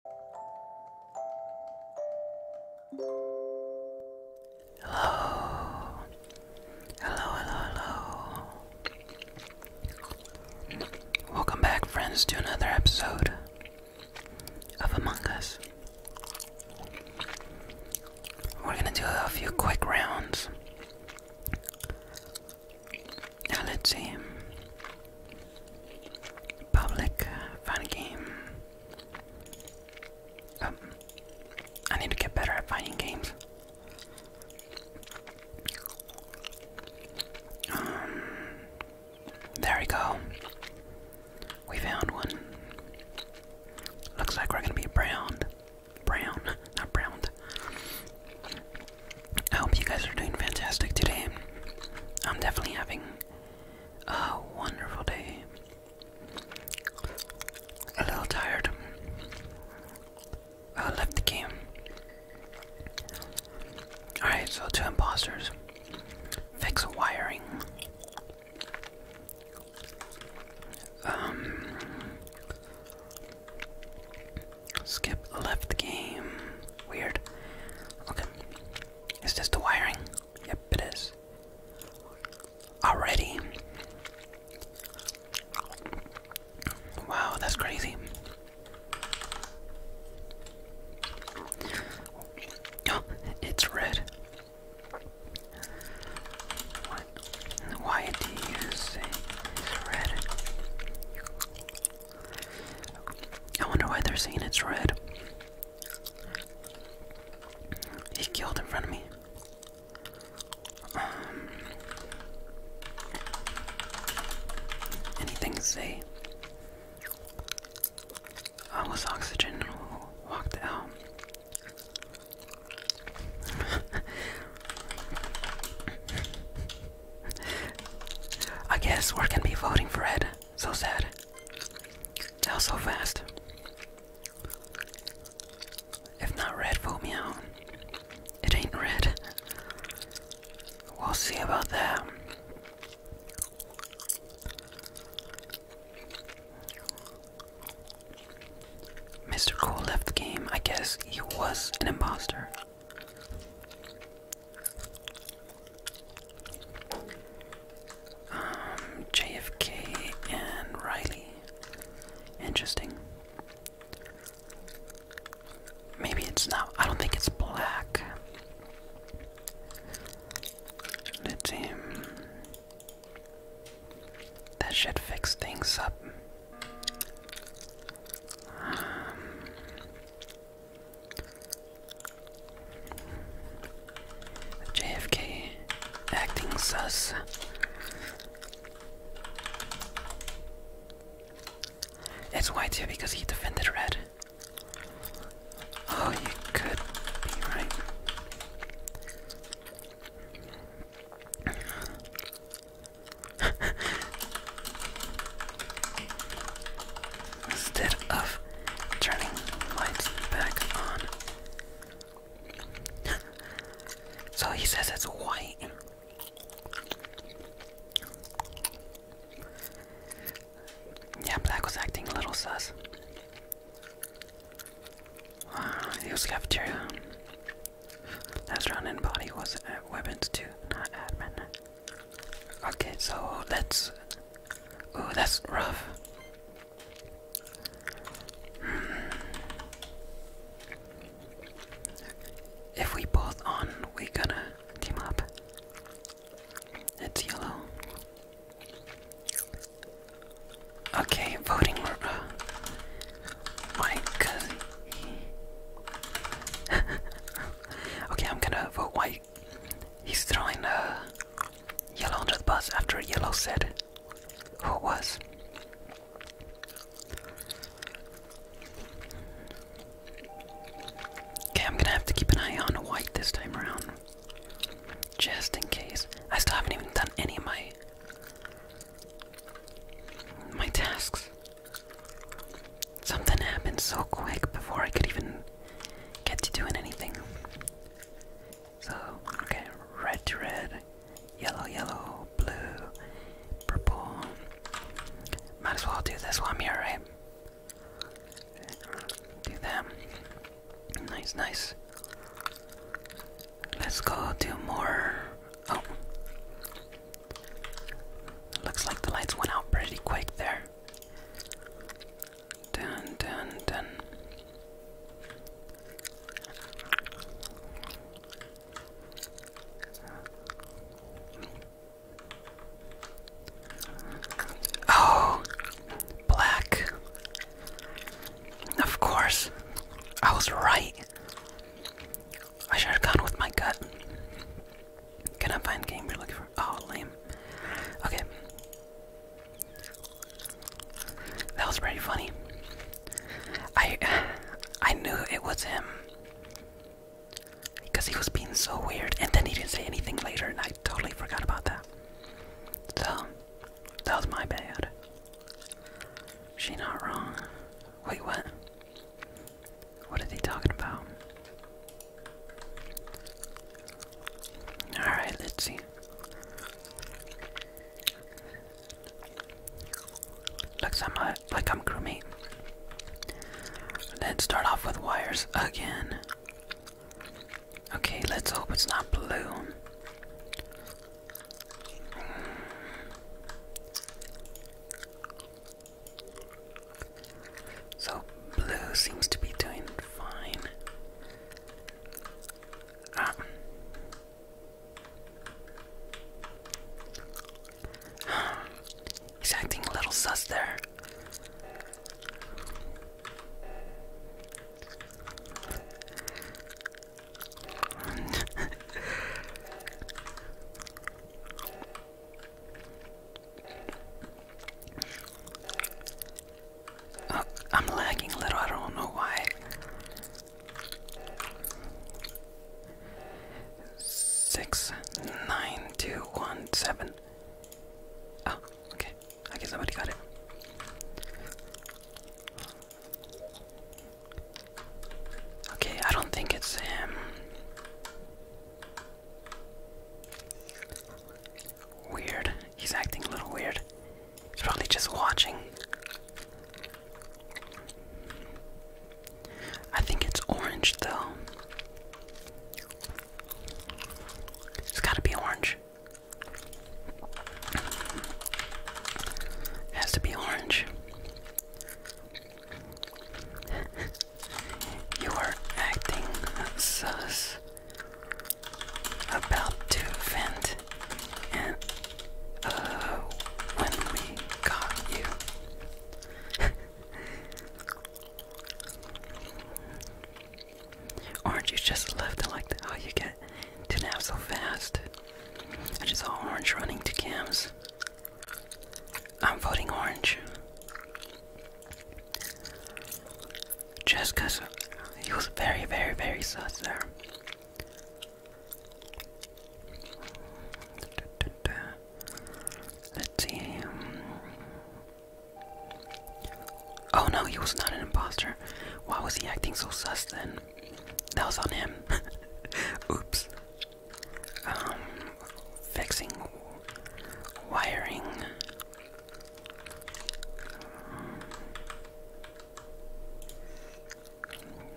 Hello. Hello, hello, hello. Welcome back, friends, to another episode of Among Us. We're gonna do a few quick rounds. Now, let's see. Public uh, fun game. Um, I need to get better at finding games. Um, there we go. We found one. Looks like we're gonna be brown, Brown, not browned. I hope you guys are doing fantastic today. I'm definitely having a wonderful day. A little tired. I left the game. Alright, so two imposters. Fix wiring. Um skip left game. Weird. Okay. Is this the wiring? Yep, it is. Already. Wow, that's crazy. Oh, it's red. Why do you say it's red? I wonder why they're saying it's red. He killed in front of me. Um, anything to say? I oh, was oxygen walked out. I guess we're gonna be voting for Ed. So sad. That was so fast. If not red, for me out. It ain't red. We'll see about that. Mr. Cole left the game. I guess he was an imposter. Um, JFK and Riley. Interesting. Maybe it's not. I don't think it's black. let That should fix things up. Um, JFK acting sus. It's white here because he defended red. Oh, you could be right. Instead of turning lights back on. so he says it's white. Yeah, Black was acting a little sus. Uh, he was cafeteria. Last round in body was at weapons too, not admin. Okay, so let's. Oh, that's rough. Hmm. If we both on, we gonna team up. It's yellow. Okay, voting. Uh, Okay, I'm gonna vote white. He's throwing a uh, yellow under the bus after yellow said who it was. Okay, I'm gonna have to keep an eye on white this time around. Just in case. I still haven't even done any of my my tasks. Something happened so quick before I could even get to doing anything. So, okay, red to red, yellow, yellow, blue, purple. Might as well do this while I'm here, right? Do that. Nice, nice. Let's go do more. Oh. Looks like the lights went out pretty quick there. Dun dun dun. Oh, black. Of course, I was right. I should have gone with my gut. Can I find game you're looking for? Oh, lame. Okay. That was pretty funny. I I knew it was him. Because he was being so weird, and then he didn't say anything later, and I totally forgot about that. So, that was my bad. She not wrong. Wait, what? What are they talking about? Alright, let's see. Looks I'm a, like I'm crewmate. Then start off with wires again. Okay, let's hope it's not blue. So blue seems to be doing fine. Ah. He's acting a little sus there. Uh, I'm lagging a little, I don't know why. Six, nine, two, one, seven. Oh, okay. I guess somebody got it. Okay, I don't think it's him. Weird. He's acting a little weird. He's probably just watching. I think it's orange though. It's gotta be orange. It has to be orange. You were acting sus. About to vent, and uh, when we got you. Orange, you just left. I like how oh, you get to nap so fast. I just saw Orange running to cams. I'm voting orange. Just because he was very, very, very sus there. Let's see. Oh no, he was not an imposter. Why was he acting so sus then? That was on him. Oops. Um, fixing wiring.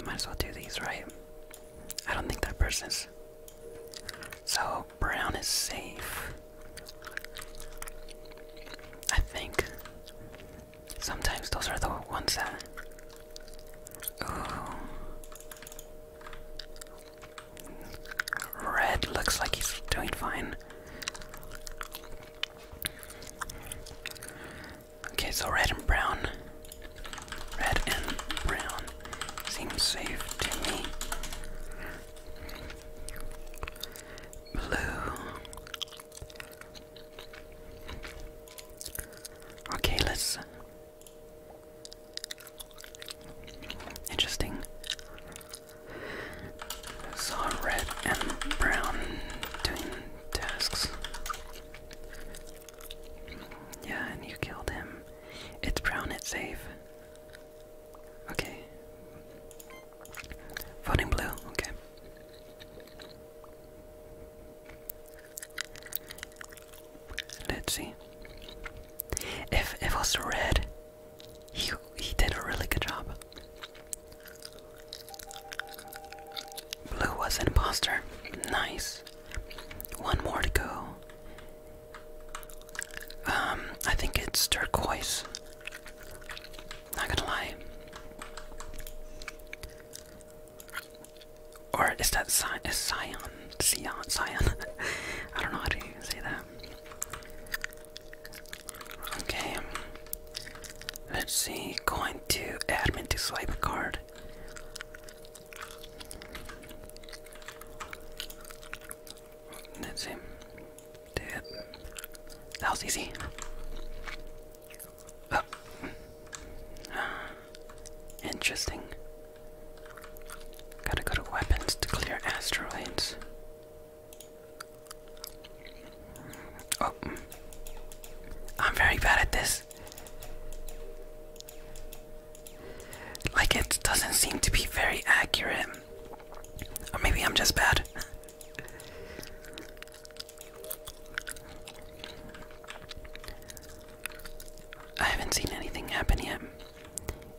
might as well do these, right? I don't think that person's. So, brown is safe. I think. Sometimes those are the ones that. Red looks like he's doing fine. Okay, so red and brown. Red and brown seems safe to me. Blue. Okay, let's Interesting. saw red and brown doing tasks. Yeah, and you killed him. It's brown, it's safe. Okay. Voting blue, okay. Let's see. If it was red, he he did a really good job. Blue was an imposter. Nice. One more to go. Um, I think it's turquoise. Not gonna lie. Or is that Scion? Scion? Scion? I don't know how to say that. Okay. Let's see. Going to admin to swipe a card. Let's see. Dude. That was easy. Oh. Interesting. Gotta go to weapons to clear asteroids. Oh. I'm very bad at this. Like, it doesn't seem to be very accurate. Or maybe I'm just bad. I haven't seen anything happen yet.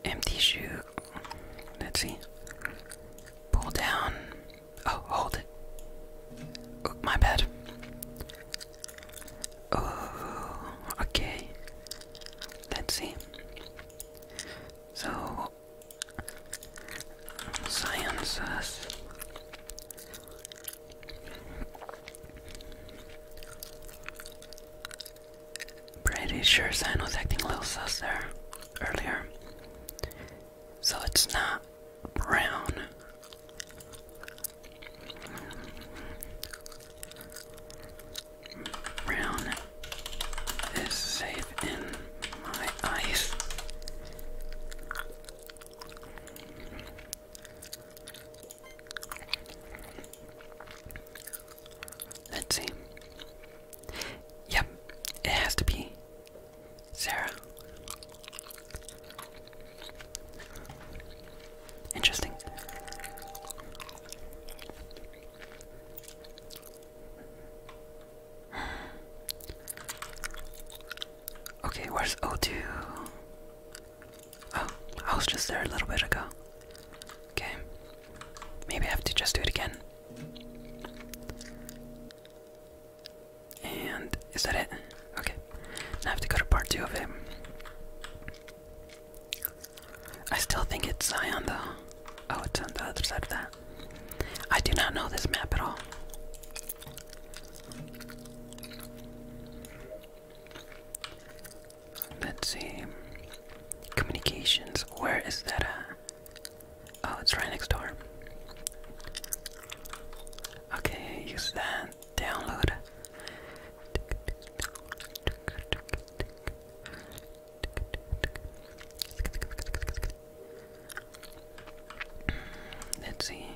Empty shoe. Let's see. Pull down. Oh, hold it. Oh, my bad. Oh, okay. Let's see. So, science Pretty sure San was acting a little sus there earlier. So it's not brown. Brown is safe in my eyes. Let's see. Yep, it has to be Sarah. Interesting. Okay, where's 0 Oh, I was just there a little bit ago. Okay. Maybe I have to just do it again. And is that it? Okay. I have to go to part two of it. I still think it's Zion though. Oh, it's on the other side of that. I do not know this map at all. Let's see. Communications. Where is that? Uh? Oh, it's right next door. Okay, use that. Download. Let's see.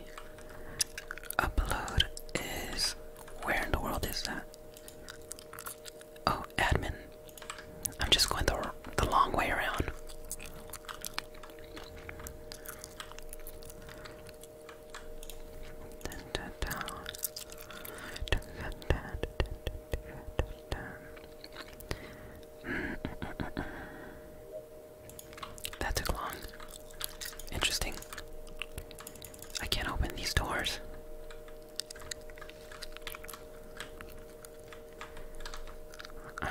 Upload is where in the world is that? Oh, admin. I'm just going the, the long way around. That took long. Interesting. I can't open these doors. Um,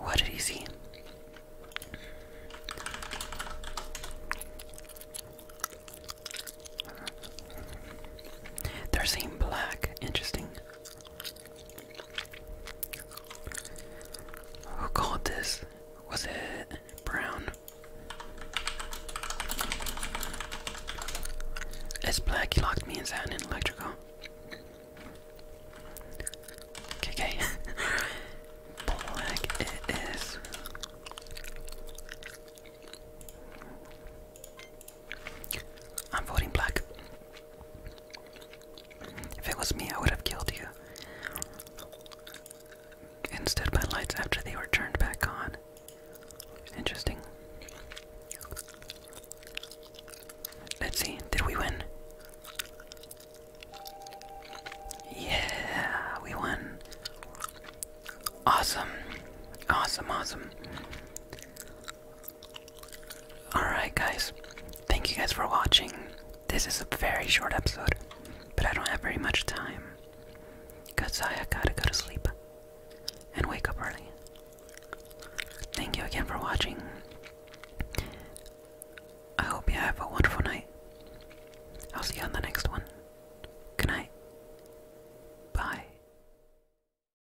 what did he see? They're saying black. Interesting. Who called this? Was it brown? It's black. He locked me inside an electrical. Okay, black it is. I'm voting black. If it was me, I would have killed you. Instead, my lights after they were turned back on. Interesting. Let's see, did we win? Yeah, we won. Awesome. Awesome, awesome. Alright, guys. Thank you guys for watching. This is a very short episode, but I don't have very much time. Because I gotta go to sleep and wake up early. Thank you again for watching. I hope you have a wonderful night. I'll see you on the next one. Good night. Bye.